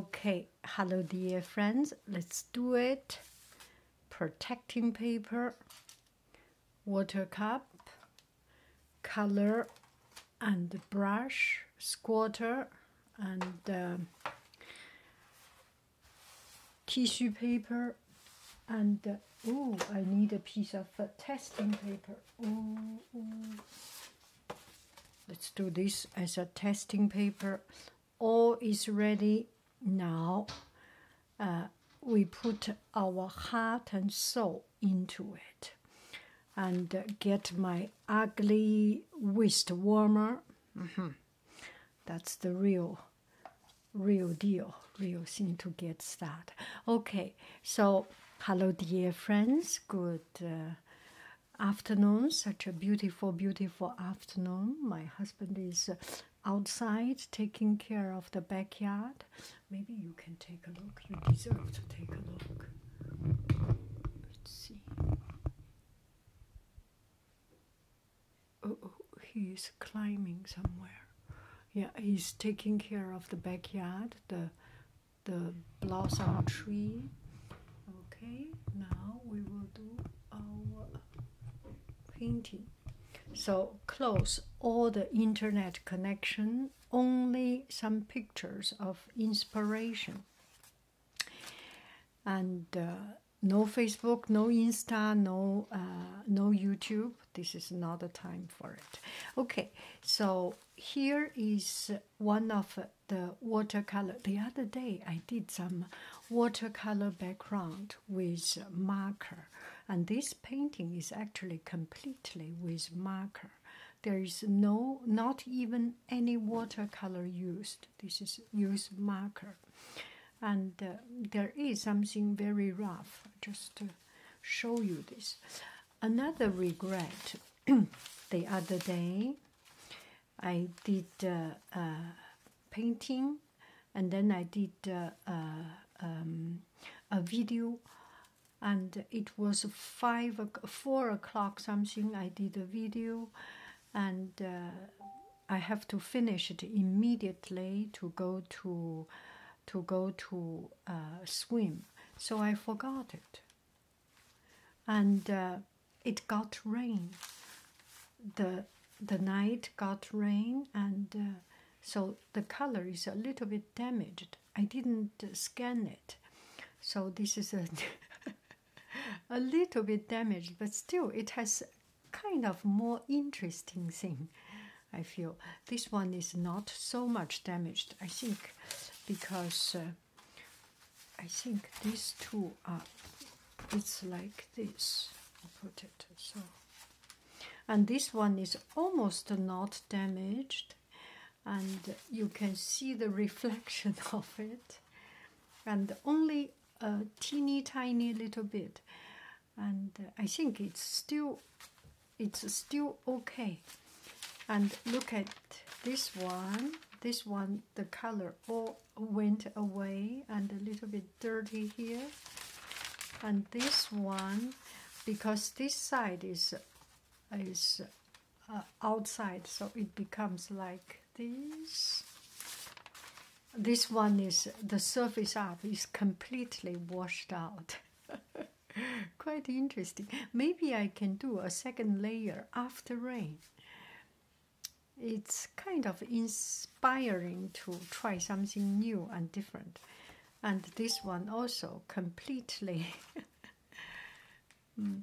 Okay, hello dear friends, let's do it. Protecting paper, water cup, color and brush, squatter and um, tissue paper and oh, I need a piece of uh, testing paper let's do this as a testing paper all is ready now uh, we put our heart and soul into it and get my ugly wrist warmer mm-hmm. that's the real real deal real thing to get started okay so hello dear friends good uh, afternoon, such a beautiful, beautiful afternoon. My husband is uh, outside taking care of the backyard. Maybe you can take a look. You deserve to take a look. Let's see. Oh, oh he is climbing somewhere. Yeah, he's taking care of the backyard, the the blossom tree. Okay, now we will do our painting. So close all the internet connection, only some pictures of inspiration. And uh, no Facebook, no Insta, no uh, no YouTube. This is not the time for it. Okay, so here is one of the watercolor. The other day, I did some watercolor background with marker, and this painting is actually completely with marker. There is no, not even any watercolor used. This is use marker, and uh, there is something very rough. Just to show you this. Another regret the other day I did uh, painting and then I did uh, um, a video and it was five four o'clock something I did a video and uh, I have to finish it immediately to go to to go to uh, swim so I forgot it and uh, it got rain. the The night got rain, and uh, so the color is a little bit damaged. I didn't uh, scan it, so this is a a little bit damaged, but still it has kind of more interesting thing. I feel this one is not so much damaged. I think because. I think these two are it's like this potato so and this one is almost not damaged and you can see the reflection of it and only a teeny tiny little bit and I think it's still it's still okay and look at this one this one the color all went away and a little bit dirty here and this one because this side is is uh, outside so it becomes like this this one is the surface up is completely washed out Quite interesting. Maybe I can do a second layer after rain. It's kind of inspiring to try something new and different. And this one also completely mm,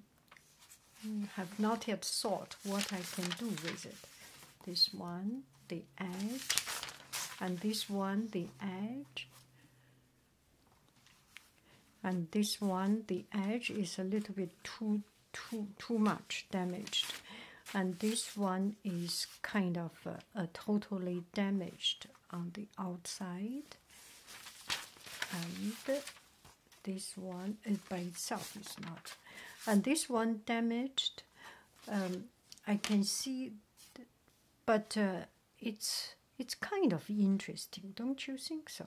mm, have not yet thought what I can do with it. This one, the edge, and this one, the edge and this one the edge is a little bit too too too much damaged and this one is kind of uh, a, totally damaged on the outside and this one by itself is not and this one damaged um, I can see but uh, it's it's kind of interesting don't you think so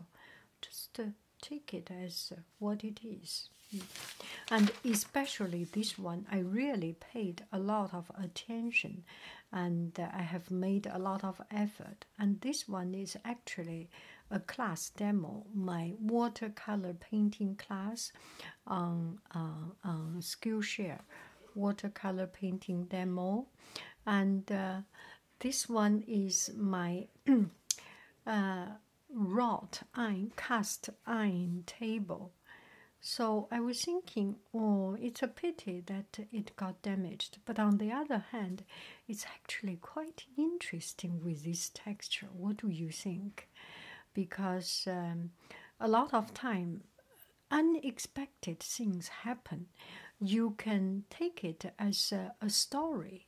just uh, take it as uh, what it is. Mm. And especially this one, I really paid a lot of attention and uh, I have made a lot of effort. And this one is actually a class demo, my watercolor painting class on, uh, on Skillshare watercolor painting demo. And this one is my wrought uh, iron, cast iron table. So I was thinking, oh, it's a pity that it got damaged. But on the other hand, it's actually quite interesting with this texture. What do you think? Because um, a lot of time, unexpected things happen you can take it as a, story.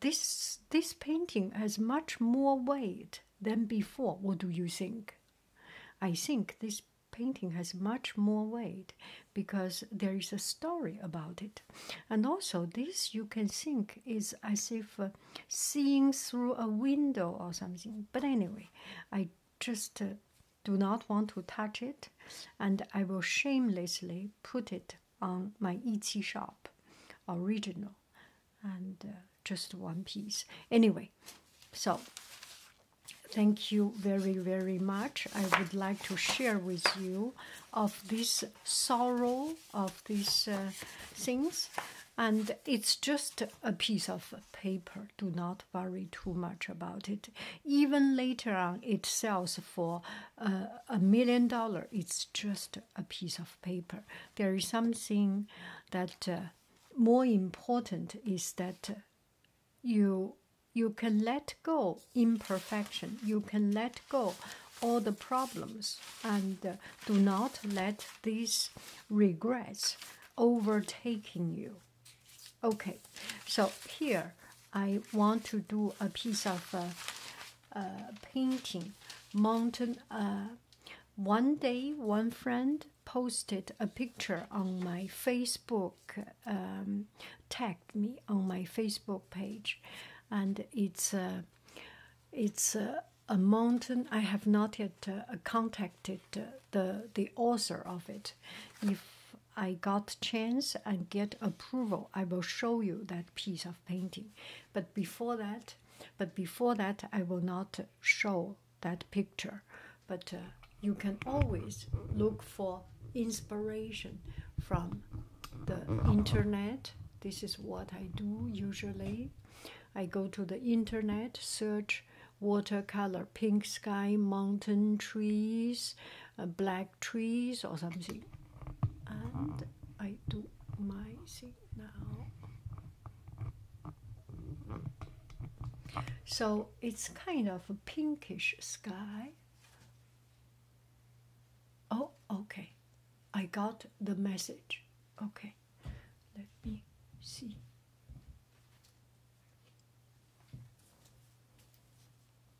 This this painting has much more weight than before. What do you think? I think this painting has much more weight because there is a story about it, and also this you can think is as if uh, seeing through a window or something. But anyway, I just uh, do not want to touch it, and I will shamelessly put it on my Etsy shop, original, and uh, just one piece. Anyway, so thank you very very much. I would like to share with you of this sorrow of these uh, things, and it's just a piece of paper. Do not worry too much about it even later on it sells for uh, a million dollar it's just a piece of paper there is something that uh, more important is that you you can let go imperfection you can let go all the problems and uh, do not let these regrets overtaking you Okay, so here I want to do a piece of uh, uh, painting. Mountain. Uh, one day, one friend posted a picture on my Facebook, um, tagged me on my Facebook page, and it's it's a mountain. I have not yet contacted the the author of it. If I got chance and get approval, I will show you that piece of painting. But before that, but before that, I will not show that picture. But uh, you can always look for inspiration from the internet. This is what I do usually. I go to the internet, search watercolor, pink sky, mountain trees, uh, black trees or something. And I do my thing now. So it's kind of a pinkish sky. Oh, okay. I got the message. Okay. Let me see.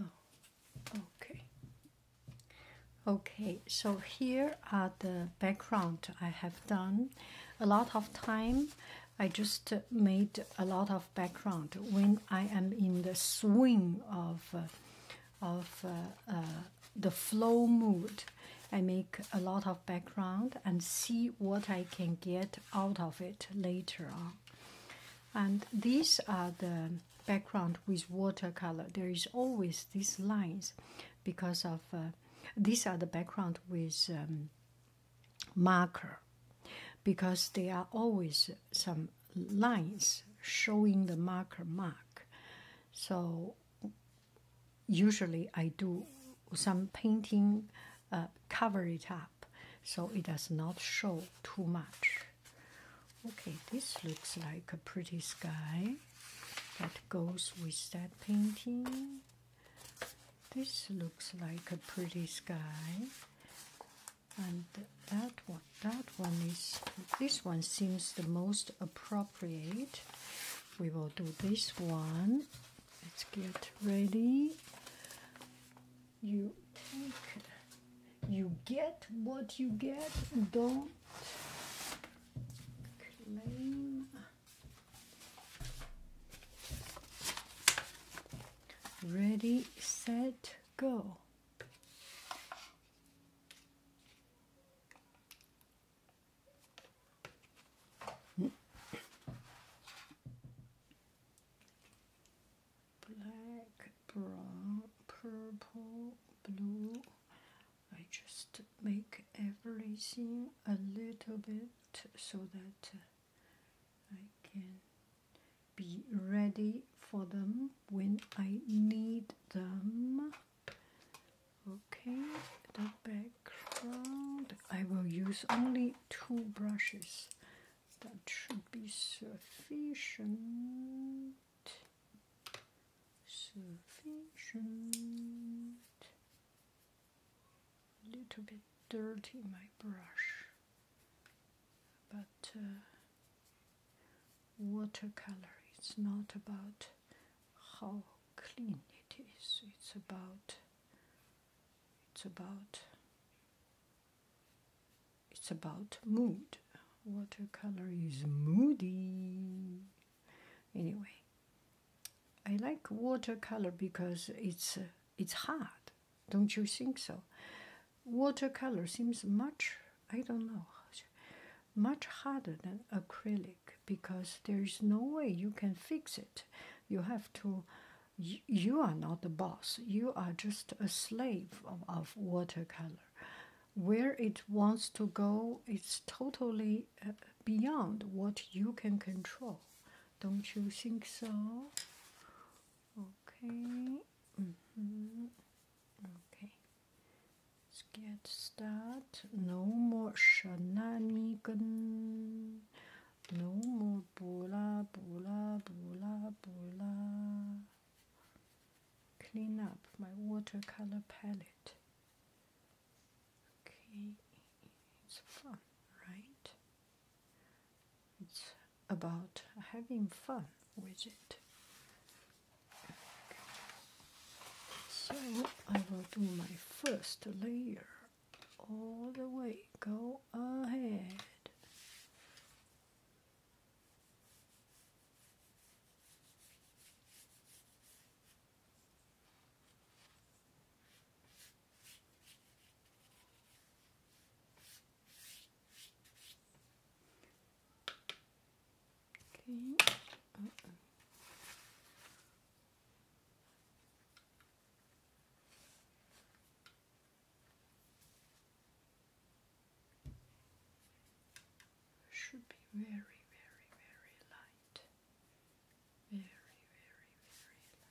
Oh, okay. Okay, so here are the background I have done. A lot of time I just made a lot of background when I am in the swing of uh, of uh, uh, the flow mood. I make a lot of background and see what I can get out of it later on. And these are the background with watercolor. There is always these lines because of uh, these are the background with um, marker because there are always some lines showing the marker mark. So usually I do some painting, uh, cover it up so it does not show too much. Okay, this looks like a pretty sky that goes with that painting. This looks like a pretty sky and that one that one is this one seems the most appropriate we will do this one let's get ready you take you get what you get don't claim ready set go Black, brown, purple, blue. I just make everything a little bit so that uh, I can be ready for them when I need them. Okay, the background. I will use only two brushes. That should be sufficient. Sufficient. Little bit dirty my brush but uh, watercolor is not about how clean it is it's about it's about it's about mood watercolor is moody anyway i like watercolor because it's uh, it's hard don't you think so watercolor seems much i don't know much harder than acrylic because there is no way you can fix it you have to you, are not the boss you are just a slave of, watercolor where it wants to go it's totally uh, beyond what you can control don't you think so okay -hmm. Okay, let's get started. No more shenanigans. No more bula bula bula bula. Clean up my watercolor palette. Okay, it's fun, right? It's about having fun with it. So I will do my first layer all the way. Go ahead. Okay. Uh-uh. Should be very, very, very light. Very, very, very light.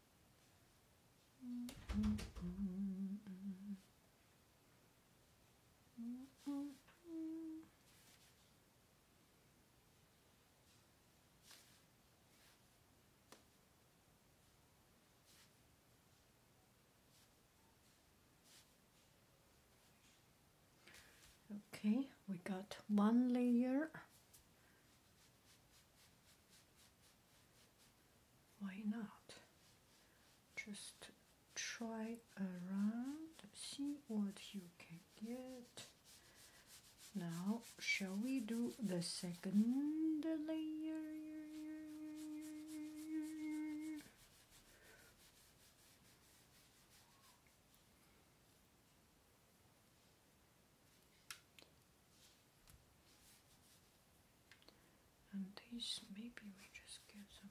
Okay, we got one layer why not? Just try around, see what you can get. Now, shall we do the second layer? And these, maybe we just give them.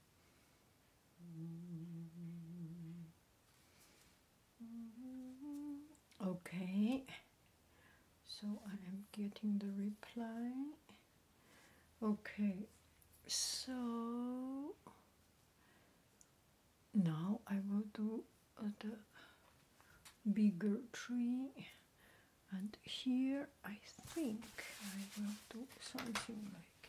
Okay, so I am getting the reply. Okay, so now I will do the bigger tree and here I think I will do something like it.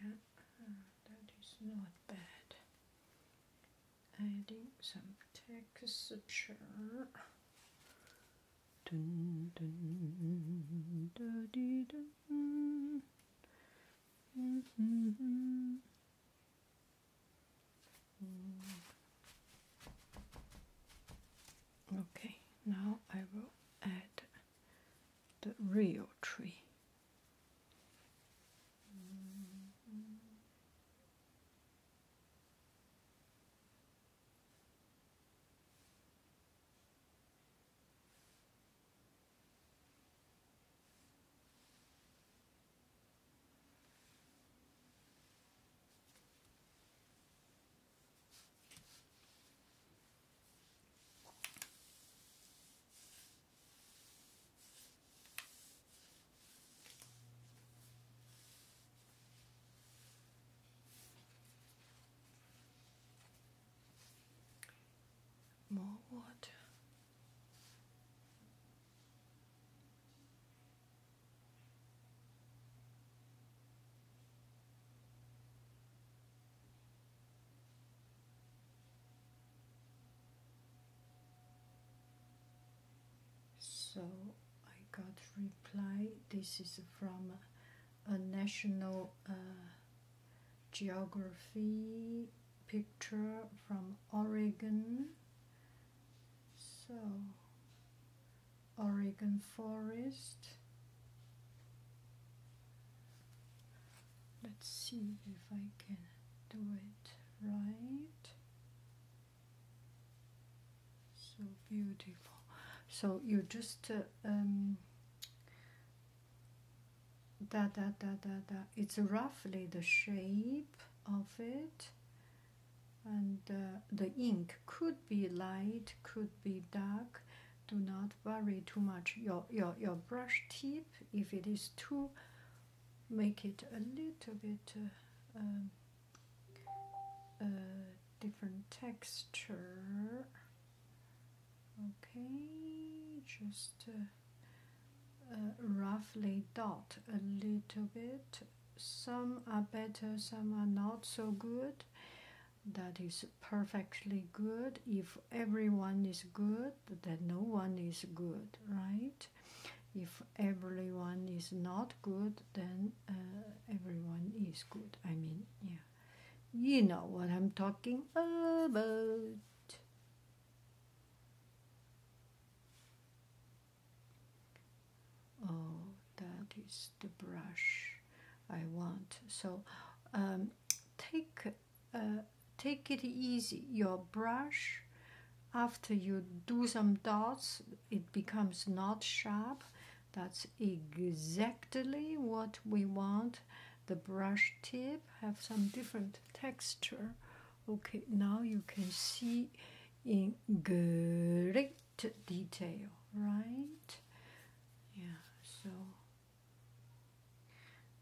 Yeah, that is not bad. Adding some texture. Dun, dun, da, dee, dun. -hmm. Okay, now I will add the real tree. More water. So I got reply. This is from a National uh, Geography picture from Oregon. So Oregon forest. Let's see if I can do it right. So beautiful. So you just uh, um, da da da da da. It's roughly the shape of it, and uh, the ink could be light, could be dark do not worry too much your your your brush tip if it is too make it a little bit uh, um, different texture okay just uh, uh, roughly dot a little bit some are better some are not so good that is perfectly good. If everyone is good, then no one is good, right? If everyone is not good, then uh, everyone is good. I mean, yeah. You know what I'm talking about. Oh, that is the brush. I want. So um, take uh, take it easy. Your brush, after you do some dots, it becomes not sharp. That's exactly what we want. The brush tip have some different texture. Okay, now you can see in great detail, right? Yeah, so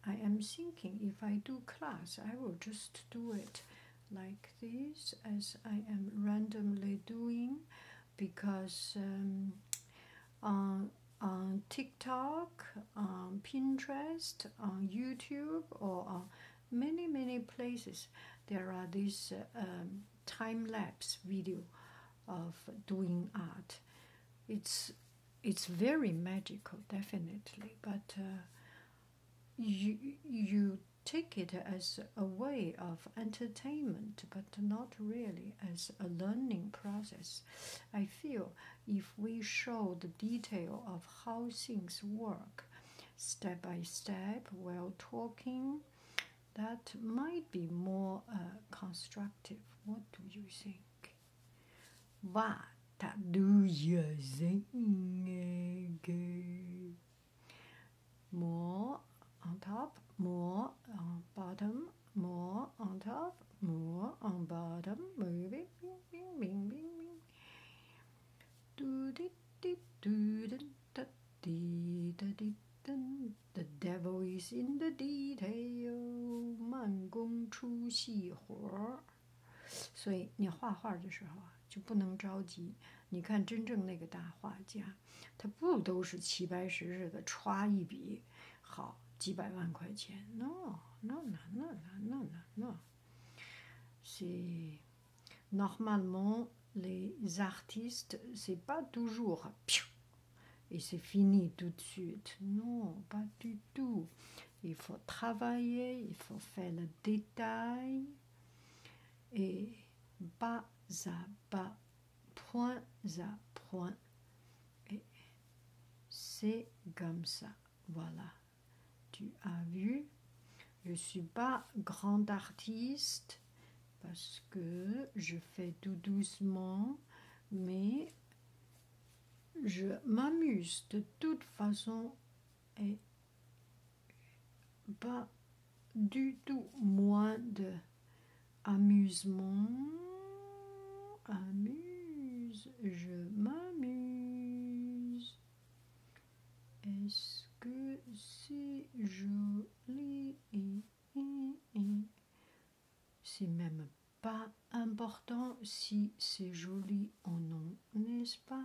I am thinking if I do class, I will just do it like this as I am randomly doing because um, on, TikTok, on Pinterest, on YouTube, or on many, many places, there are these uh, um, time lapse video of doing art. It's it's very magical, definitely, but uh, you, you take it as a way of entertainment, but not really as a learning process. I feel if we show the detail of how things work step by step while talking, that might be more uh, constructive. What do you think? vata duya zingege. More on top, more on bottom, more on top, more on bottom. Move it, bing, bing, bing, bing, bing. Do dit dit do dit da di da di dun The devil is in the detail，慢工出细活儿，所以你画画的时候啊，就不能着急。你看，真正那个大画家，他不都是齐白石似的歘一笔，好几百万块钱？No，no，no，no，no，no，no。C'est normalement les artistes, c'est pas toujours. et c'est fini tout de suite. Non, pas du tout. Il faut travailler, il faut faire le détail et bas à bas, point à point. Et c'est comme ça. Voilà. Tu as vu, je ne suis pas grand artiste parce que je fais tout doucement, mais je m'amuse de toute façon et pas du tout moins de amusement amuse je m'amuse est-ce que c'est joli c'est même pas important si c'est joli ou non, n'est-ce pas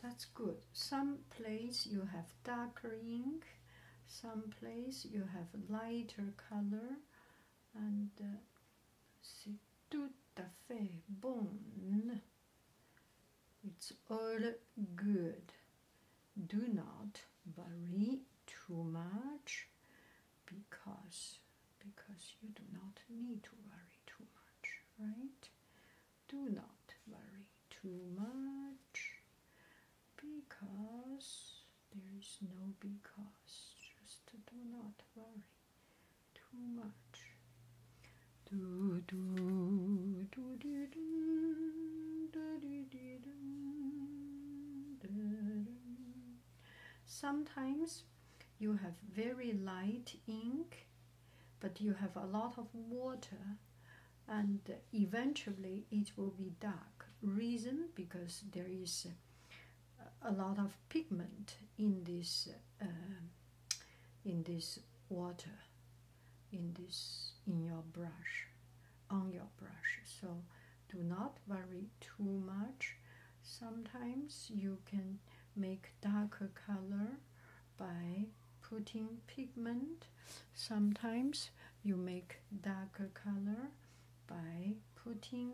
That's good. Some place you have darker ink, some place you have lighter color, and c'est uh, tout à fait bon. It's all good. Do not worry too much because because you do not need to worry too much, right? Do not worry too much because there is no big cost, just do not worry too much. Sometimes you have very light ink, but you have a lot of water, and eventually it will be dark. Reason because there is a lot of pigment in this uh, in this water in this in your brush on your brush so do not worry too much sometimes you can make darker color by putting pigment sometimes you make darker color by putting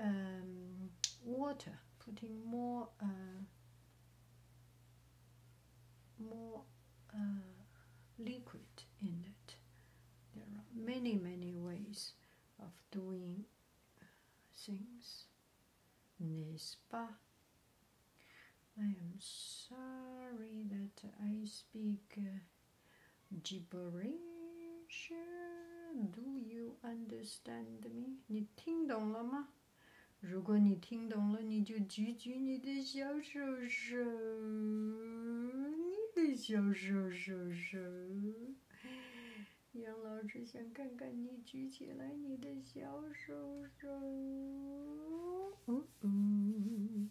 um, water, putting more uh, more uh, liquid in it. There are many many ways of doing uh, things. N'est-ce pas? I am sorry that I speak Gibberish, do you understand me? 你听懂了吗？如果你听懂了，你就举举你的小手手，你的小手手手。杨老师想看看你举起来你的小手手。嗯嗯。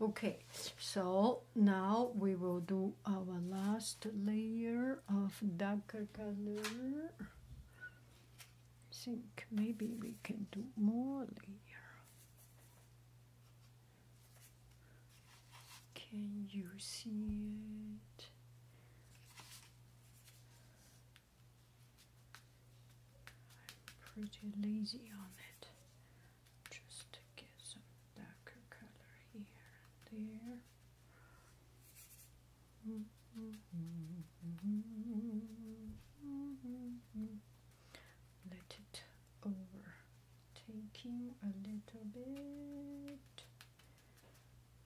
Okay, so now we will do our last layer of darker color. I think maybe we can do more layer. Can you see it? I'm pretty lazy on it. Just to get some darker color here and Let it over taking a little bit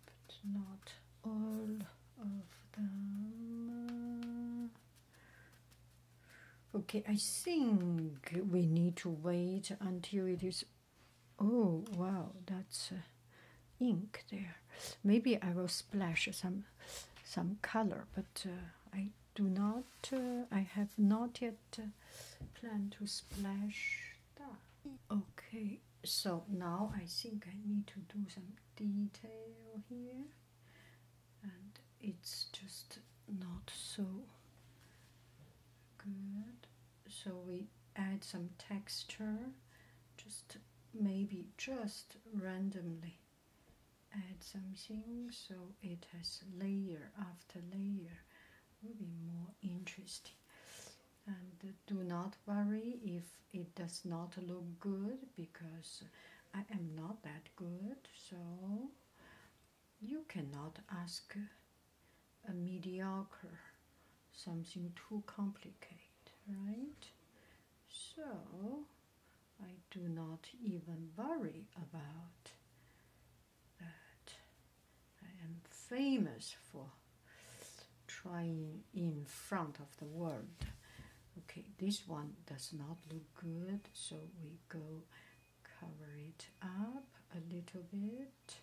but not all of them okay I think we need to wait until it is oh wow that's uh, ink there maybe I will splash some some color but uh, I do not uh, I have not yet plan to splash Okay, so now I think I need to do some detail here, and it's just not so good. So we add some texture, just maybe just randomly add something so it has layer after layer will be more interesting. And do not worry if it does not look good because I am not that good, so you cannot ask a mediocre something too complicated, right? So I do not even worry about that I am famous for trying in front of the world. Okay, this one does not look good, so we go cover it up a little bit.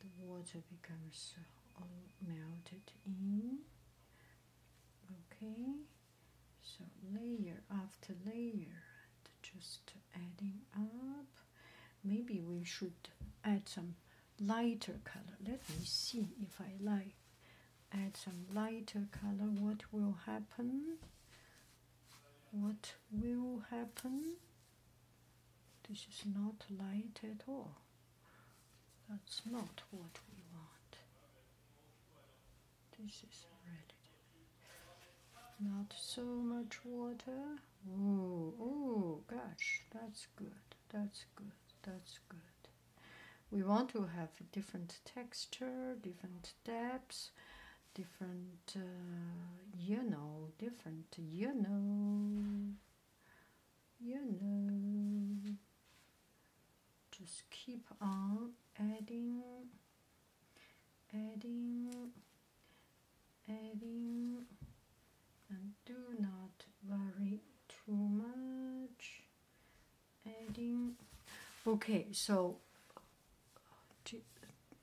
The water becomes all melted in. Okay, so layer after layer just adding up. Maybe we should add some lighter color. Let me see if I like add some lighter color. What will happen? What will happen? This is not light at all. That's not what we want. This is red. Not so much water. Oh, oh, gosh, that's good. That's good. That's good. We want to have a different texture, different depths, different, uh, you know, different, you know, you know. Just keep on adding, adding adding and do not worry too much adding okay so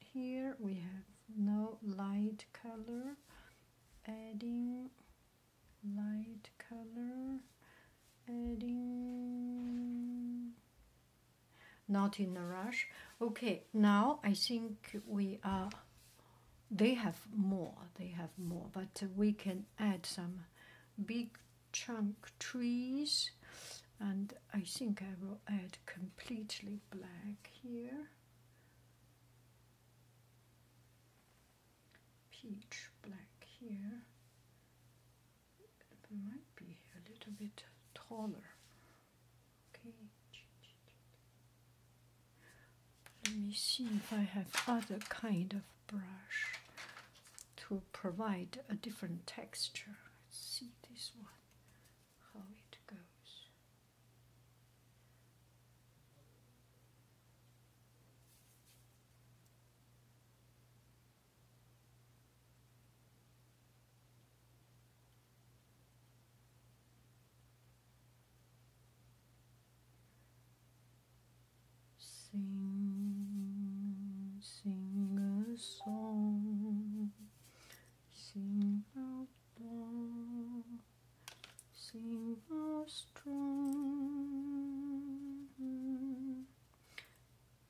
here we have no light color adding light color adding not in a rush. Okay, now I think we are. They have more, they have more, but we can add some big chunk trees. And I think I will add completely black here. Peach black here. It might be a little bit taller let me see if I have other kind of brush to provide a different texture. Let's see this one, how it goes. Sing, sing a song, sing out loud, sing out strong.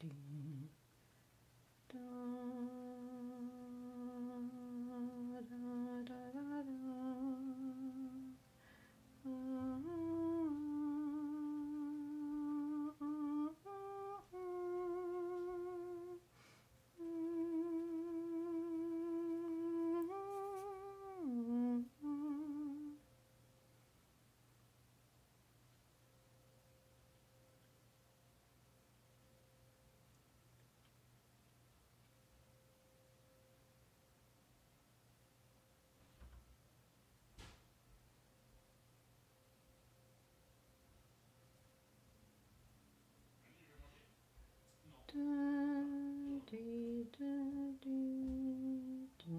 ding da da da da da Da, dee, da, dee, da.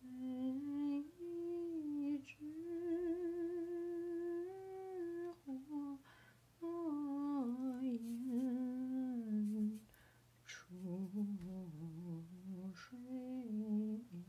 每一枝花，映出水来。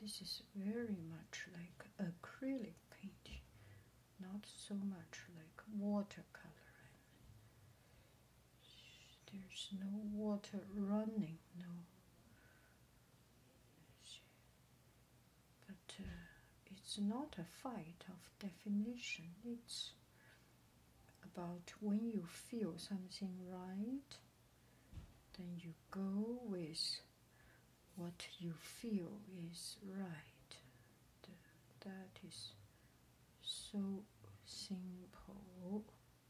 This is very much like acrylic paint, not so much like watercolor. There's no water running, no. But uh, it's not a fight of definition. It's about when you feel something right, then you go with what you feel is right. That is so simple.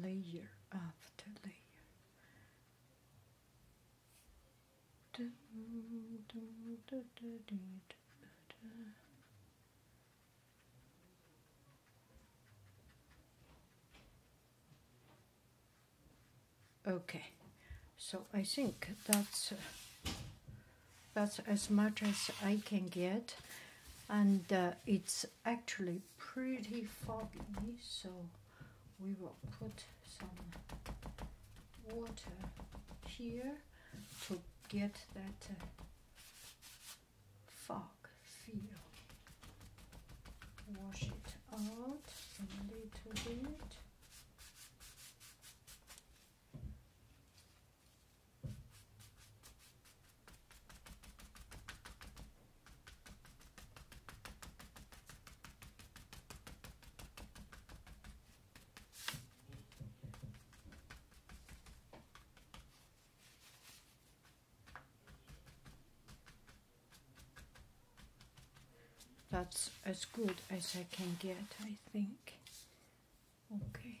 Layer after layer. Okay, so I think that's that's as much as I can get, and uh, it's actually pretty foggy, so we will put some water here to get that uh, fog feel. Wash it out a little bit that's as good as I can get, I think. Okay.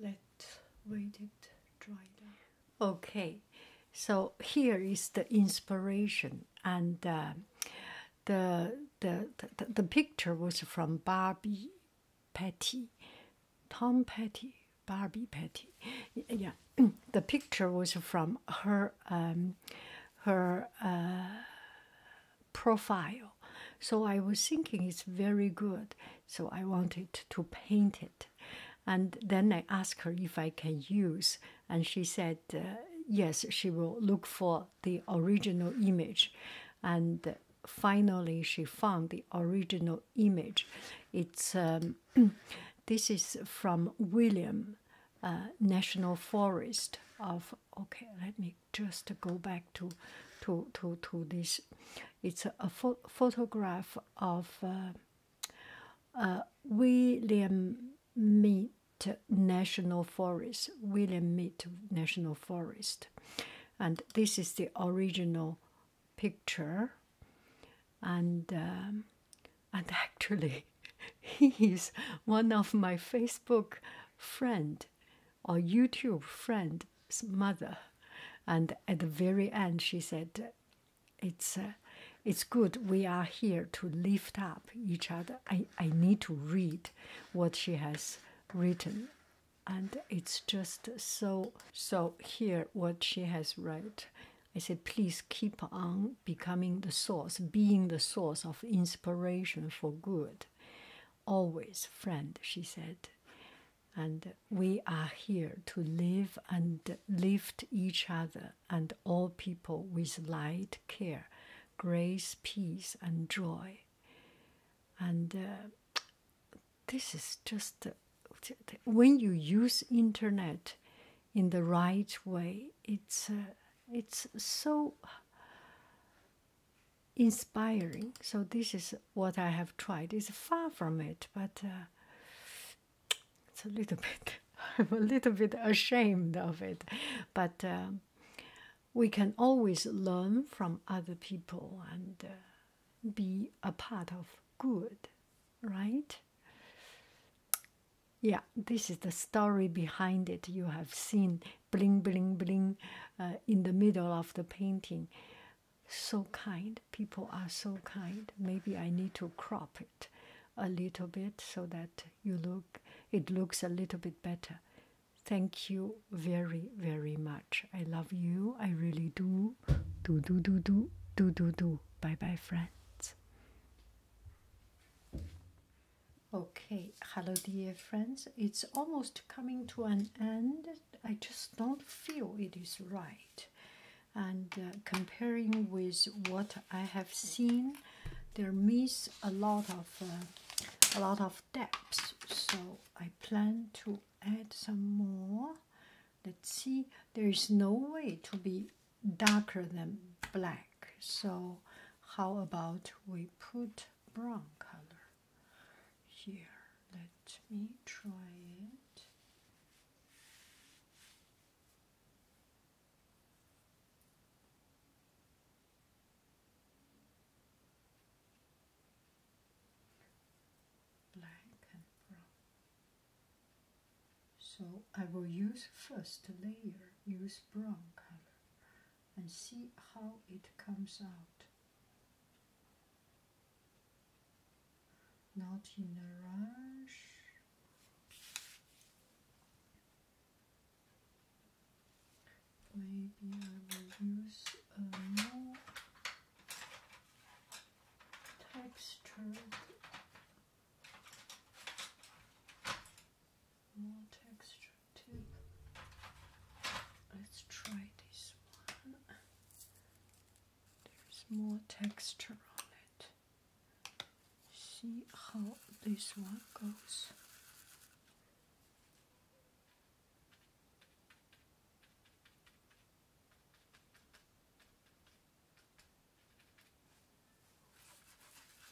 Let wait it dry down. Okay, so here is the inspiration, and uh, the, the the picture was from Barbie Petty, Tom Petty, Barbie Petty. Yeah, the picture was from her um, her. Uh, profile. So I was thinking it's very good. So I wanted to paint it. And then I asked her if I can use, and she said uh, yes, she will look for the original image. And finally, she found the original image. It's um, this is from William uh, National Forest of okay let me just go back to to to to this it's a, a photograph of uh, uh, william mead national forest william mead national forest and this is the original picture and um, and actually he is one of my facebook friend our YouTube friend's mother, and at the very end she said, "It's, uh, it's good. We are here to lift up each other. I I need to read what she has written, and it's just so so. Here, what she has wrote." I said, please keep on becoming the source, being the source of inspiration for good always friend, she said. And we are here to live and lift each other and all people with light, care, grace, peace, and joy. And uh, this is just uh, when you use internet in the right way, it's uh, it's so inspiring. So this is what I have tried. It's far from it, but uh, it's a little bit. I'm a little bit ashamed of it, but uh, we can always learn from other people and uh, be a part of good, right? Yeah, this is the story behind it. You have seen bling bling bling uh, in the middle of the painting so kind people are so kind maybe i need to crop it a little bit so that you look it looks a little bit better thank you very very much i love you i really do do do do do do do do bye bye friends Okay, hello dear friends. It's almost coming to an end. I just don't feel it is right. And uh, comparing with what I have seen, there miss a lot of uh, a lot of depths. So I plan to add some more. Let's see. There is no way to be darker than black. So how about we put brown color here. Let me try it. Black and brown. So I will use first layer, use brown color and see how it comes out. Not in a rush. Maybe I will use a more textured more texture too. Let's try this one. There's more texture on it. See how this one goes.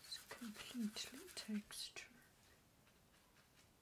It's completely texture.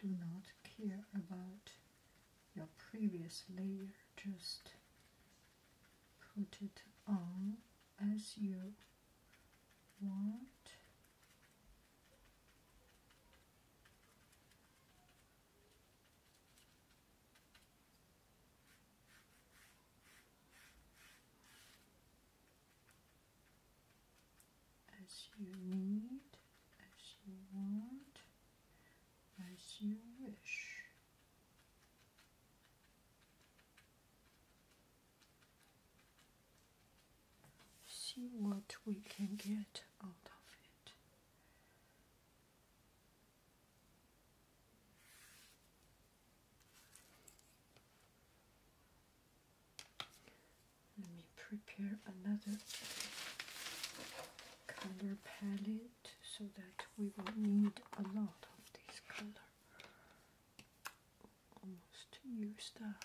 Do not care about your previous layer, just put it on as you want as you need, as you want, as you wish. See what we can get out of it. Let me prepare another color palette so that we will need a lot of this color. Almost used up.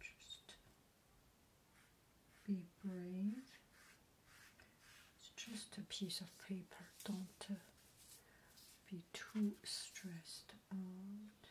Just be brave. It's just a piece of paper. Don't uh, be too stressed out.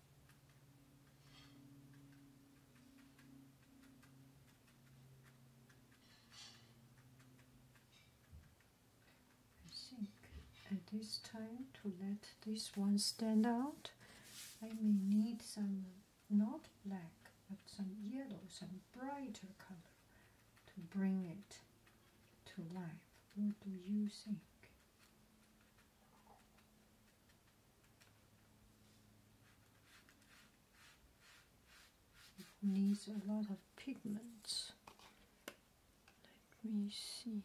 I think at this time to let this one stand out, I may need some not black but some yellow, some brighter color to bring it to life. What do you think? It needs a lot of pigments. Let me see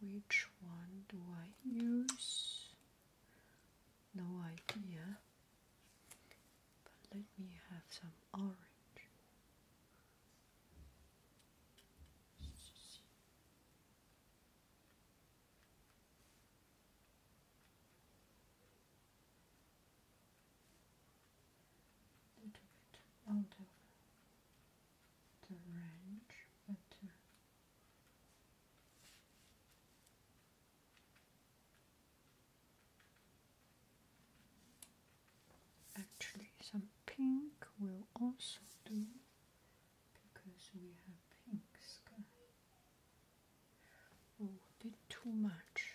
which one do I use. No idea. But let me have some orange. A the range, but actually some pink will also do because we have pink sky. Oh, a too much.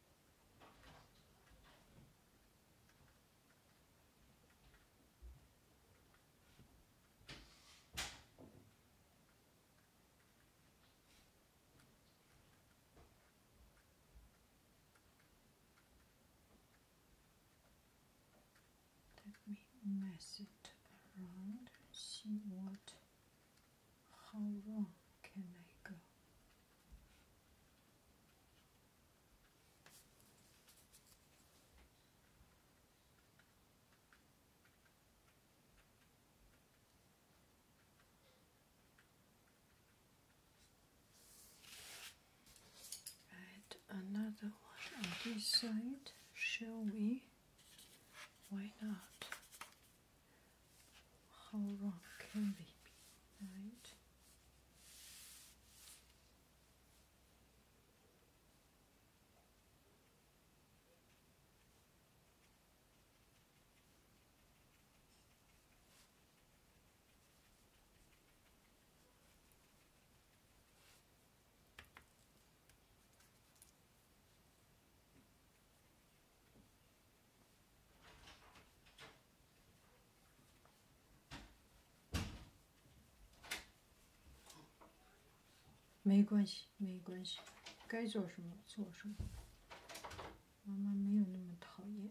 Let me mess it around and see what how wrong can I go. Add another one on this side, shall we? Why not? how wrong can they be, right? 没关系，没关系，该做什么做什么。妈妈没有那么讨厌。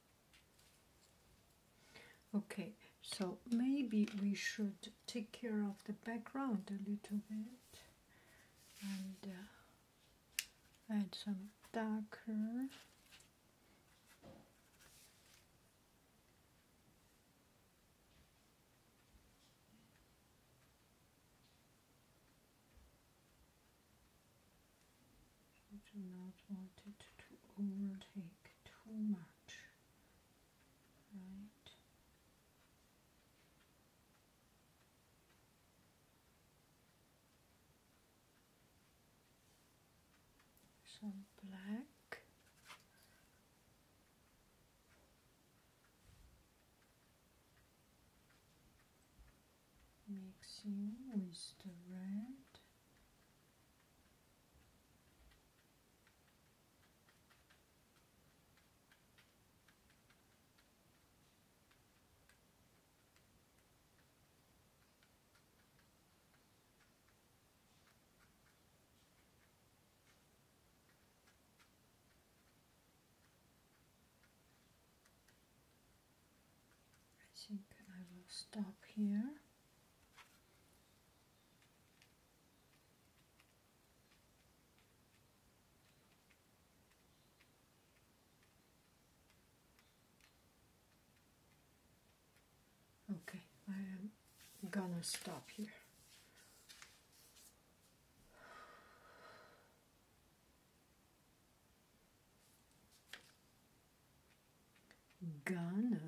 Okay, so maybe we should take care of the background a little bit and uh, add some darker. You do not want it to overtake too much, right? Some black. Mixing with the red I think I will stop here. Okay, I am gonna stop here. Ghana.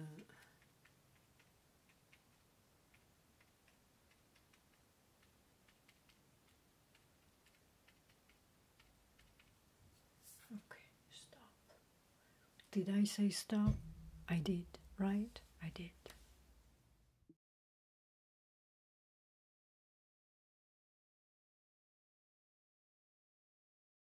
Okay, stop. Did I say stop? I did, right? I did.